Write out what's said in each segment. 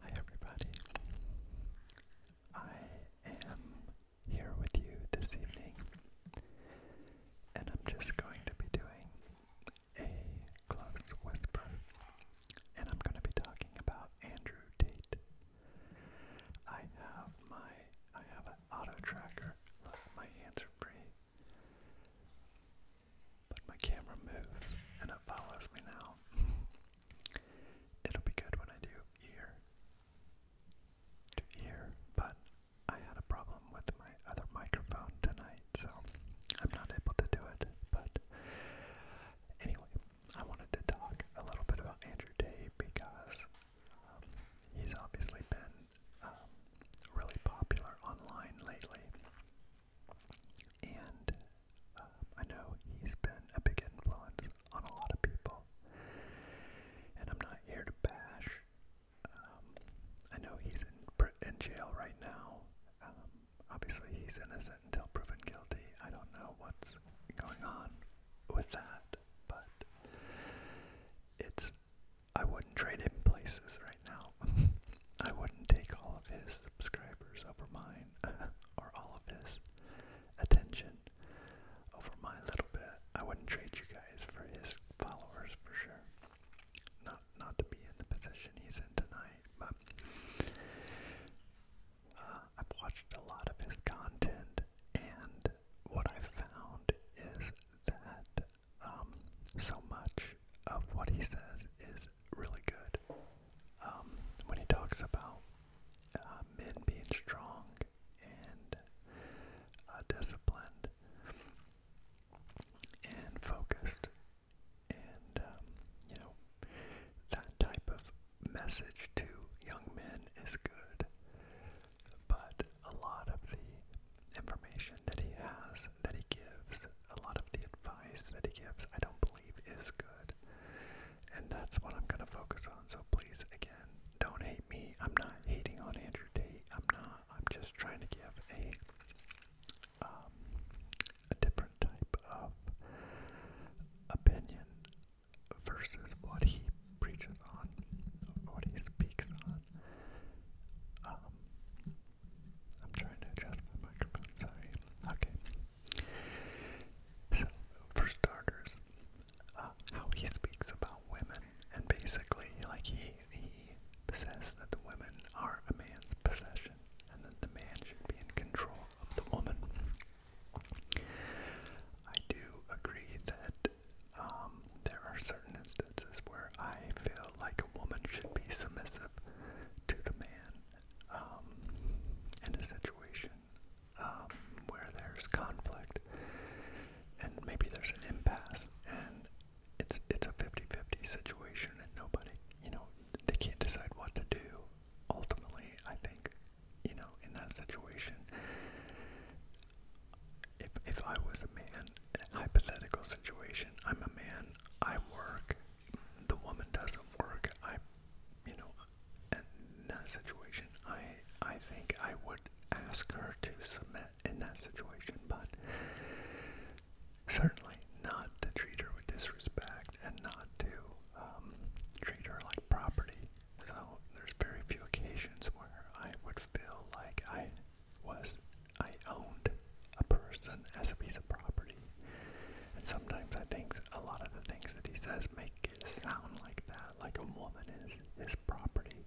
Hi, everybody. I am here with you this evening, and I'm just going to be doing a close whisper, and I'm going to be talking about Andrew Tate. I have my I have an auto tracker. Look, my hands are free. But my camera moves and it follows me now. It'll be good when I do ear to ear, but I had a problem with my other microphone tonight, so I'm not able to do it. But anyway, I wanted to talk a little bit about Andrew Day because um, he's obviously been um, really popular online lately. And um, I know he's been a big influence on a lot of people. And I'm not here to bash. Um, I know he's in, jail right now. obviously, he's innocent until proven guilty. I don't know what's going on with that, but it's I wouldn't trade him places right now. I wouldn't take all of his subscribers over mine, or all of his attention over my little bit. I wouldn't trade you guys for his followers for sure. Not not to be in the position he's in tonight, but uh, I've watched a lot of his content, and what I've found is that um, so much of what he says is really good. Um, when he talks about uh, men being strong and uh, disciplined and focused, and um, you know that type of message to young men is good. But a lot of the information that he has that he gives, a lot of the advice that he gives, I don't believe is good. And that's what I'm going to focus on. So please, again, don't hate me. I'm not hating on Andrew Tate. I'm not. I'm just trying to give a, um, a different type of opinion versus what he preaches on, what he speaks on. Um, I'm trying to adjust my microphone, sorry. Okay. So, for starters, uh, how he speaks about women, and basically, like, he, he says that the women are a man's possession, and that the man should be in control of the woman. I do agree that um, there are certain instances where I feel like a woman should be submissive to the man um, in a situation um, where there's conflict and maybe there's an impasse and it's it's a 50-50 situation and nobody you know they can't decide what to do ultimately i think you know in that situation if if I was a man, a hypothetical situation, I'm a man, I work, the woman doesn't work, I you know in that situation I I think I would ask her to submit in that situation, but certainly not to treat her with disrespect and not to um, treat her like property. So there's very few occasions where I would feel like I was I owned a person as a piece of property. And sometimes I think a lot of the things that he says make it sound like that, like a woman is his property.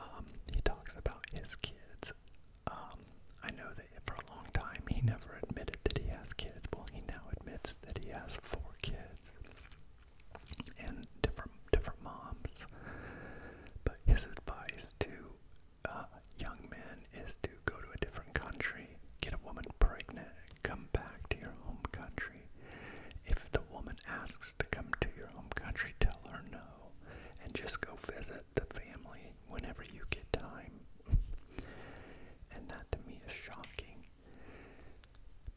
Um, he talks about his kids. Um, I know that for a long time he never admitted that he has kids. Well, he now admits that he has four kids and different different moms. But his advice to uh, young men is to go to a different country, get a woman pregnant, come back to your home country. If the woman asks to come to your home country, tell her no, and just go visit the family whenever you get time. And that to me is shocking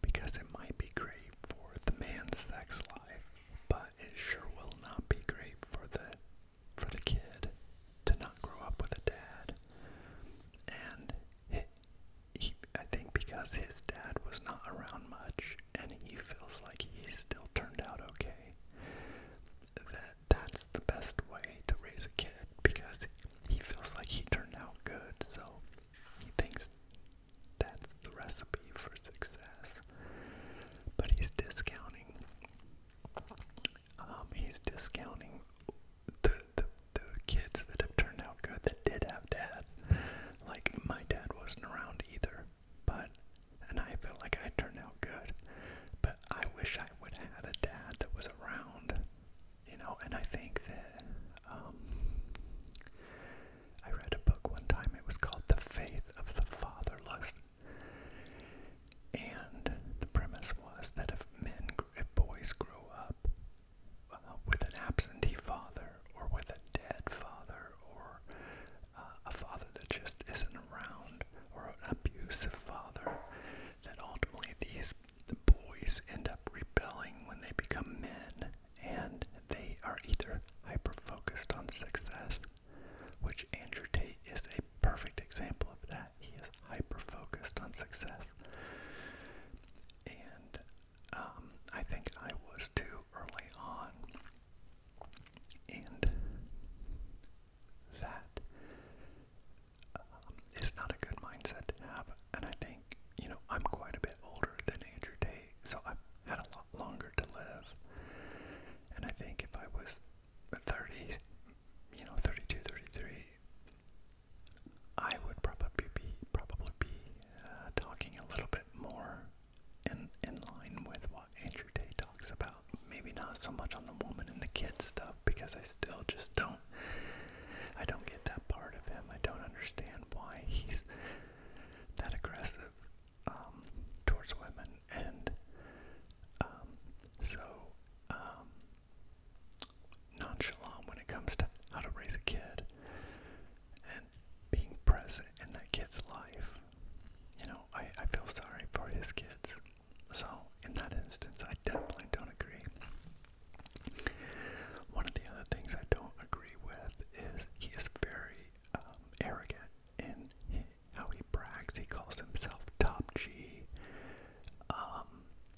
because it might be great for the man's sex life, but it sure will not be great for the for the kid to not grow up with a dad. And he, he, I think because his dad was not around much, and he feels like he still turned out okay. That that's the best way to raise a kid because he feels like he turned out good, so he thinks that's the recipe for success. But he's discounting. Um, he's discounting the, the the kids that have turned out good that did have dads. Like my dad wasn't around either, but and I feel like I turned out good. But I wish I would have had a dad that was around, you know. And I think that um, I read a book one time, it was called The Faith of the Fatherless. And the premise was that if men, if boys grow up uh, with an absentee father or with a dead father or uh, a father that just isn't around or an abusive father, that ultimately these boys end up rebelling when they become men and they are either hyper focused on success which Andrew Tate is a perfect example of that. He is hyper focused on success. And um, I think I was too early on. And that um, not a good mindset to have. And I think, you know, I'm quite a bit older than Andrew Tate, so I've had a lot longer to live. And I think if I was 30, you know, 32, 33, I would probably be probably be uh, talking a little bit more in in line with what Andrew Day talks about. Maybe not so much on the woman and the kid stuff because I still just don't I don't get that part of him. I don't understand why he's that aggressive um, towards women, and um, so um, nonchalant when it comes to how to raise a kid and being present in that kid's life. You know, I, I feel sorry for his kids. So, in that instance, I definitely don't agree. One of the other things I don't agree with is he is very um, arrogant in how he brags. He calls himself Top G. Um,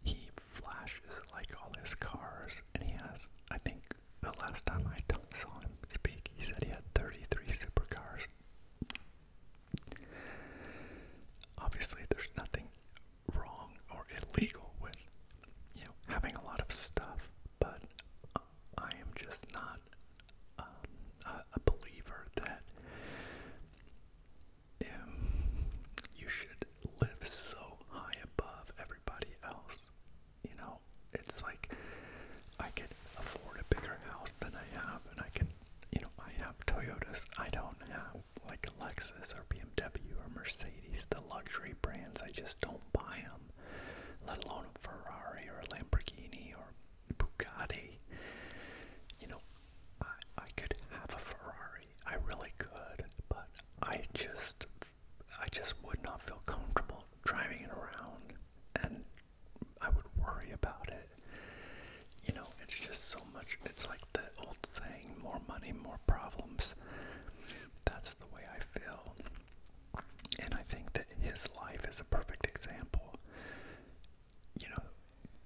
he flashes like all his cars, and he has, I think, the last time I saw him speak, he said he had 33 supercars. Obviously, there's nothing wrong or illegal with you having a lot of stuff, but I am just not um, a, believer that um, you should live so high above everybody else. You know, it's like I could afford a bigger house than I have, and I can, you know, I have Toyotas. I don't have like Lexus or BMW or Mercedes, the luxury brands. I just don't buy them, let alone a Ferrari or a Lamborghini or Bugatti. You know, I, could have a Ferrari. I really could, but I just, I just would not feel comfortable driving it around, and I would worry about it. You know, it's just so much. It's like the old saying: "More money, more problems." That's the way I feel. And I think that his life is a perfect example. You know,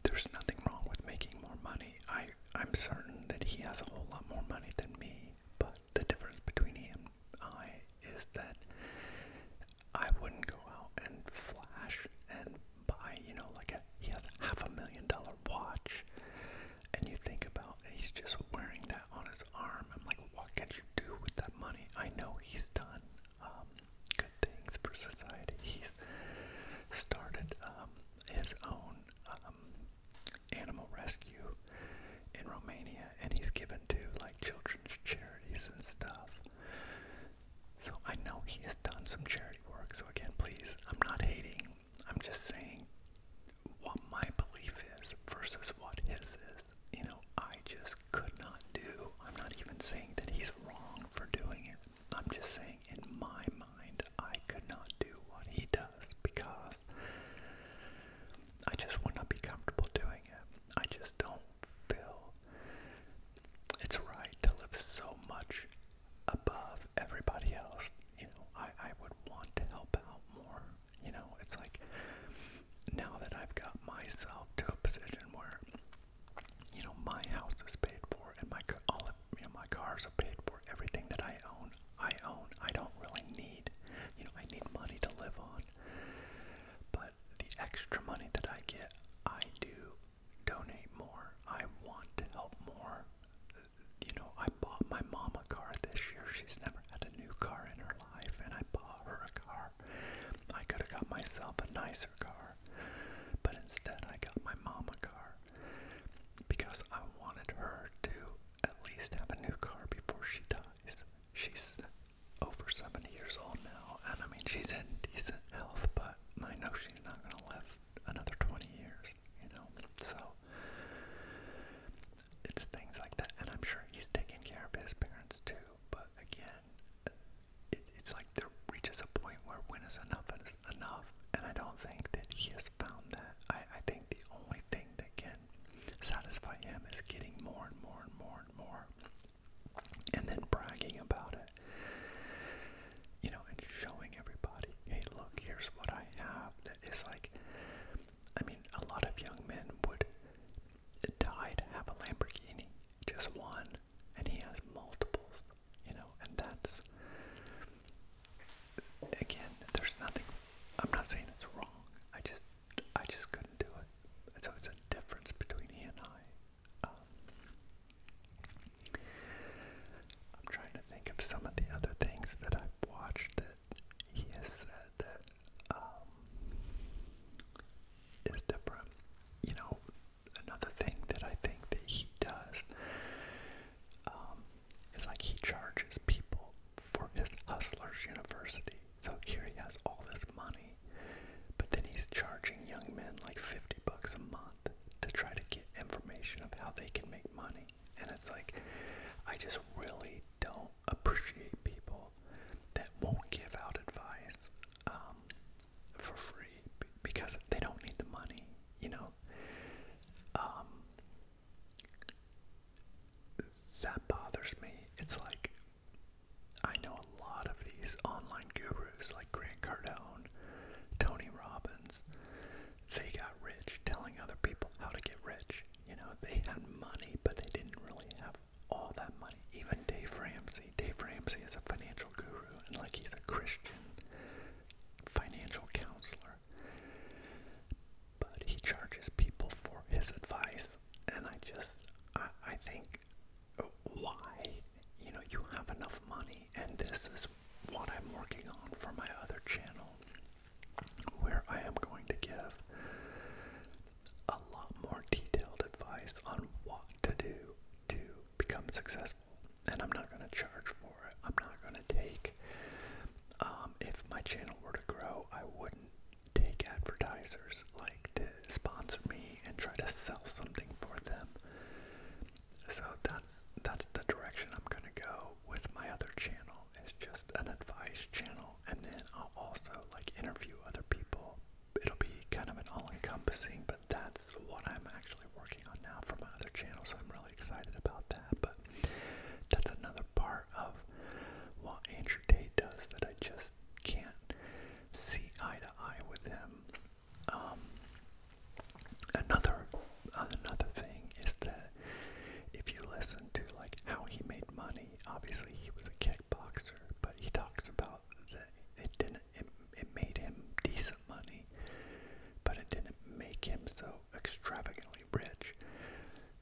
there's nothing wrong with making more money. I, I'm certain that he has a whole lot more money than me, but the difference between he and I is that I wouldn't go out and flash and buy, you know, like a, he has a half a million dollar watch. And you think about he's just wearing that on his arm. I'm like, what can you do with that money? I know he's done um, good things for society. He's started um, his own um, animal rescue in Romania, and he's given to like children's charities and stuff. So I know he has done some charity work. So again, please, I'm not hating. I'm just saying what my belief is versus what his is you know, I just could not do. I'm not even saying that he's wrong for doing it. I'm just saying, in my mind, I could not do what he does because I just would not be comfortable doing it. I just don't feel it's right to live so much above everybody else. You know, I, I would want to help out more. You know, it's like now that I've got myself to a position where, you know, my house is paid for and my all of, you know, my cars are paid for, everything that I own, I own. I don't really need, you know, I need money to live on. But the extra money that I get, I do donate more. I want to help more. You know, I bought my mom a car this year. She's never had a new car in her life, and I bought her a car I could have got myself a nicer car, but instead I got my mom a car because I wanted her to at least have a new car before she dies. She's over 70 years old now, and I mean, she's in decent health, but I know she's not going to live another 20 years, you know? So it's things like that, and I'm sure he's taking care of his parents too, but again, and it, it's like there reaches a point where when is enough is enough, and I don't think that he has found that. I, I think the only thing that can satisfy him is getting more and more and more and more, and then bragging about it, you know, and showing everybody, hey, look, here's what I have. That is like, I mean, a lot of young men would died have a Lamborghini, just one, and he has multiples, you know, and that's again, there's nothing I'm not saying it's wrong. I just I just couldn't do it. And so it's a difference between he and I. Um, I'm trying to think of some of the other things that I've watched that he has said that um, is different. You know, another thing that I think that he does um, is like he charges people for his hustlers university. So here he has all this money, but then he's charging young men like 50 bucks a month to try to get information of how they can make money. And it's like, I just really don't appreciate people people that won't give out advice um, for free because they don't need the money, you know. Um, that bothers me. It's like I know a lot of these online gurus like Grant Cardone, Tony Robbins. They got rich telling other people how to get rich. You know, they had money, but they didn't really have all that money. Even Dave Ramsey. Dave Ramsey is a financial guru and like he's a Christian financial counselor. But he charges people for his advice. And I just, I think, why? You know, you have enough money, and this is what I'm working on for my other channel, where I am going to give a lot more detailed advice on what to do to become successful. And I'm not going to charge for it. I'm not going to take, um, if my channel were to grow, I wouldn't take advertisers like to sponsor me and try to sell something for them. So that's that's the direction I'm going to go with my other channel. It's just an advice channel and then I'll also like interview other people it'll be kind of an all-encompassing, but that's what I'm actually working on now for my other channel, so I'm really excited about that. But that's another part of what Andrew Tate does that I just can't see eye to eye with him. Um, another another thing is that if you listen to like how he made money, obviously he was a kickboxer, but he talks about out that it didn't it, it made him decent money, but it didn't make him so extravagantly rich.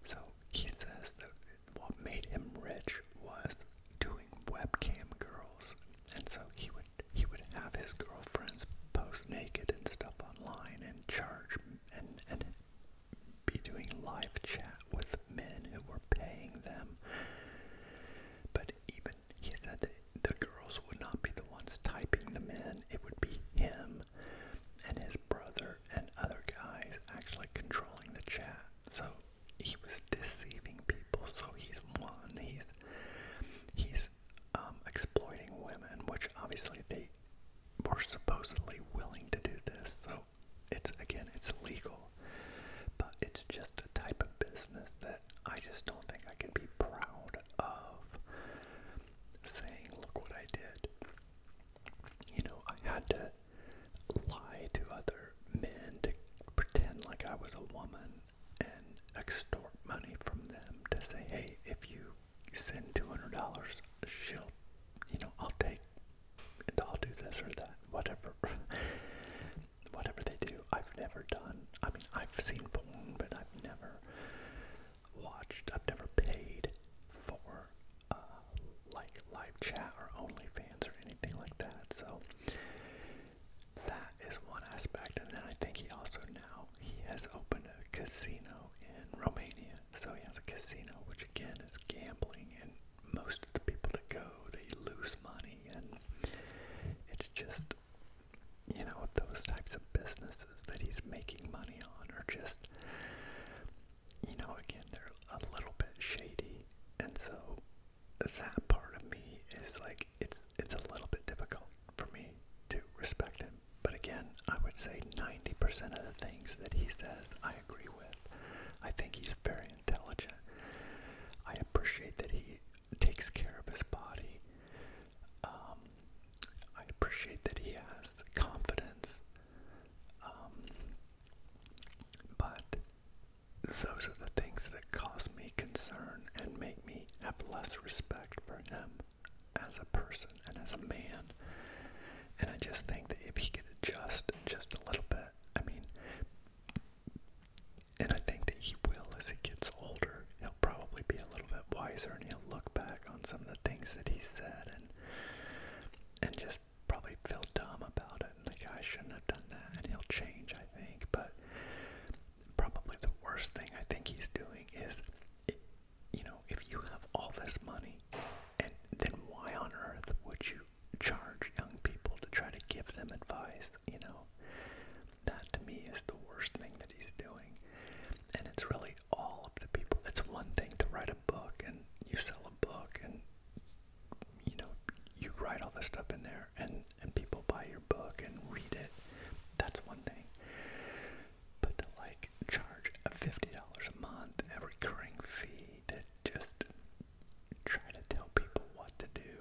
So he says that what made him rich was doing webcam girls, and so he would he would have his girlfriends post naked and stuff online and charge and and be doing live chat with men who were paying them. But even he said that the girls would not be the ones typing the in, it would be him and his brother and other guys actually controlling the chat. So he was deceiving people. So he's one, he's he's um, exploiting women, which obviously they were supposedly willing to do this. So it's again, it's legal, but it's just a type of business that I just don't think I can be proud of saying, look what I did. You know, I had to lie to other men to pretend like I was a woman and extort money from them to say, hey, if you send $200, she'll, you know, I'll take and I'll do this or that, whatever. whatever they do, I've never done. I mean, I've seen porn, but I've never watched, I've never paid for uh, like live chat or OnlyFans or anything like that. So that is one aspect. And then I think he also now he has opened a casino in Romania. So he has a casino, which again is gambling and most of the people that go, they lose money, and it's just, you know, those types of businesses that he's making money on are just, you know, again, they're a little bit shady, and so that part of me is like, it's it's a little bit difficult for me to respect him. But again, I would say 90% of the things that he says, I agree with. I think he's very intelligent. I appreciate that he takes care of his body. Um, I appreciate that he has confidence. Um, but those are the things that cause me concern and make me have less respect for him as a person and as a man. And I just think that if he could adjust just a little bit, I mean, and I think that he will as he gets older. He'll probably be a little bit wiser, and he'll look back on some of the things that he said, and and just probably feel dumb about it. And like I shouldn't have done that, and he'll change. I think, but probably the worst thing I think he's doing is, you know, if you have all this money, and then why on earth would you charge young people to try to give them advice, you know. That to me is the worst thing that he's doing. And it's really all of the people. It's one thing to write a book and you sell a book and you know, you write all this stuff in there and, and people buy your book and read it. That's one thing. But to like charge a $50 a month, a recurring fee to just try to tell people what to do.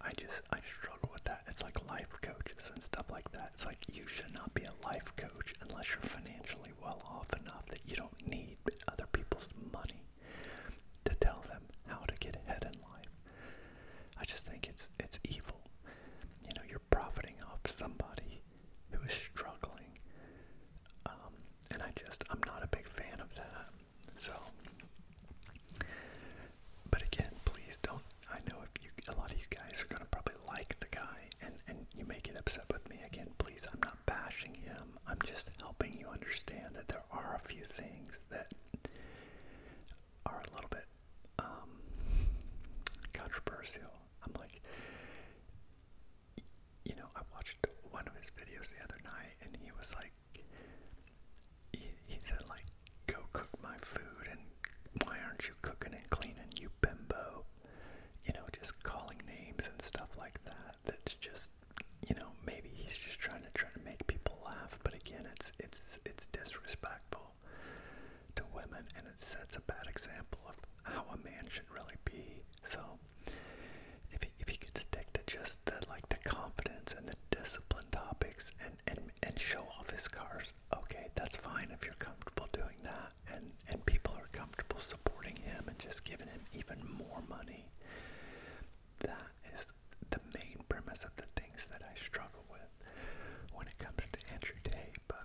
I, just I struggle with that. It's like life coaches and stuff like that. It's like you should not be a life coach unless you're financially well off enough that you don't need other people's money to tell them how to get ahead in life. I just think it's it's evil. You know, you're profiting off somebody who is struggling. Um, and I just I'm not a big fan of that. So, but again, please don't. I know if you, a lot of you guys are gonna probably like the guy, and and you may get upset with me again. Please, I'm not bashing him. I'm just helping you understand that there are a few things that are a little bit um, controversial. I'm like, you know, I watched one of his videos the other night, and he was like he, he said, like, go cook my food, and why aren't you cooking and cleaning, you bimbo? You know, just calling names and stuff like that. That's just, you know, maybe he's just trying to try to make people laugh. But again, it's it's it's disrespectful to women, and it sets a bad example of how a man should really be. So if he, if he could stick to just the like the confidence and the discipline topics and and and show off his cars, okay, that's fine if you're comfortable doing that and and people are comfortable supporting him and just giving him even more money. That is the main premise of the things that I struggle with when it comes to Andrew Day, but.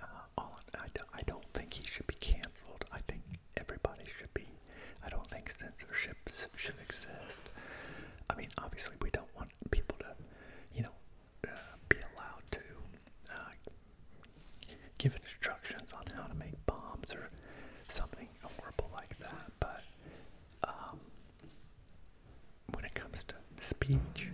Uh, all, I, I don't think he should be canceled. I think everybody should be. I don't think censorships should exist. I mean, obviously, we don't want people to, you know, uh, be allowed to uh, give instructions on how to make bombs or something horrible like that. But um, when it comes to speech,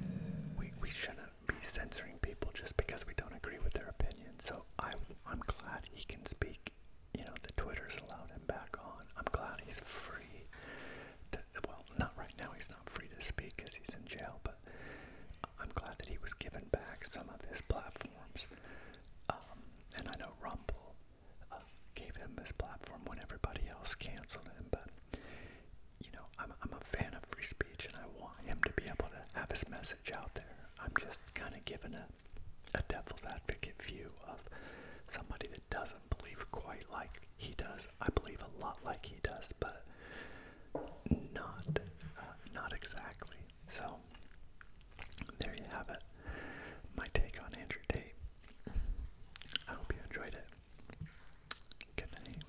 we, we shouldn't be censoring people just because we don't agree with their opinion. So I, I'm glad he can speak you know, the Twitter's allowed him back on. I'm glad he's free to, well, not right now, he's not free to speak because he's in jail, but I'm glad that he was given back some of his platforms. Um, and I know Rumble uh, gave him his platform when everybody else canceled him, but, you know, I'm, I'm a fan of free speech and I want him to be able to have his message out there. I'm just kind of giving a a devil's advocate view of somebody that doesn't believe quite like he does. I believe a lot like he does, but not uh, not exactly. So there you have it. My take on Andrew Tate. I hope you enjoyed it. Good night.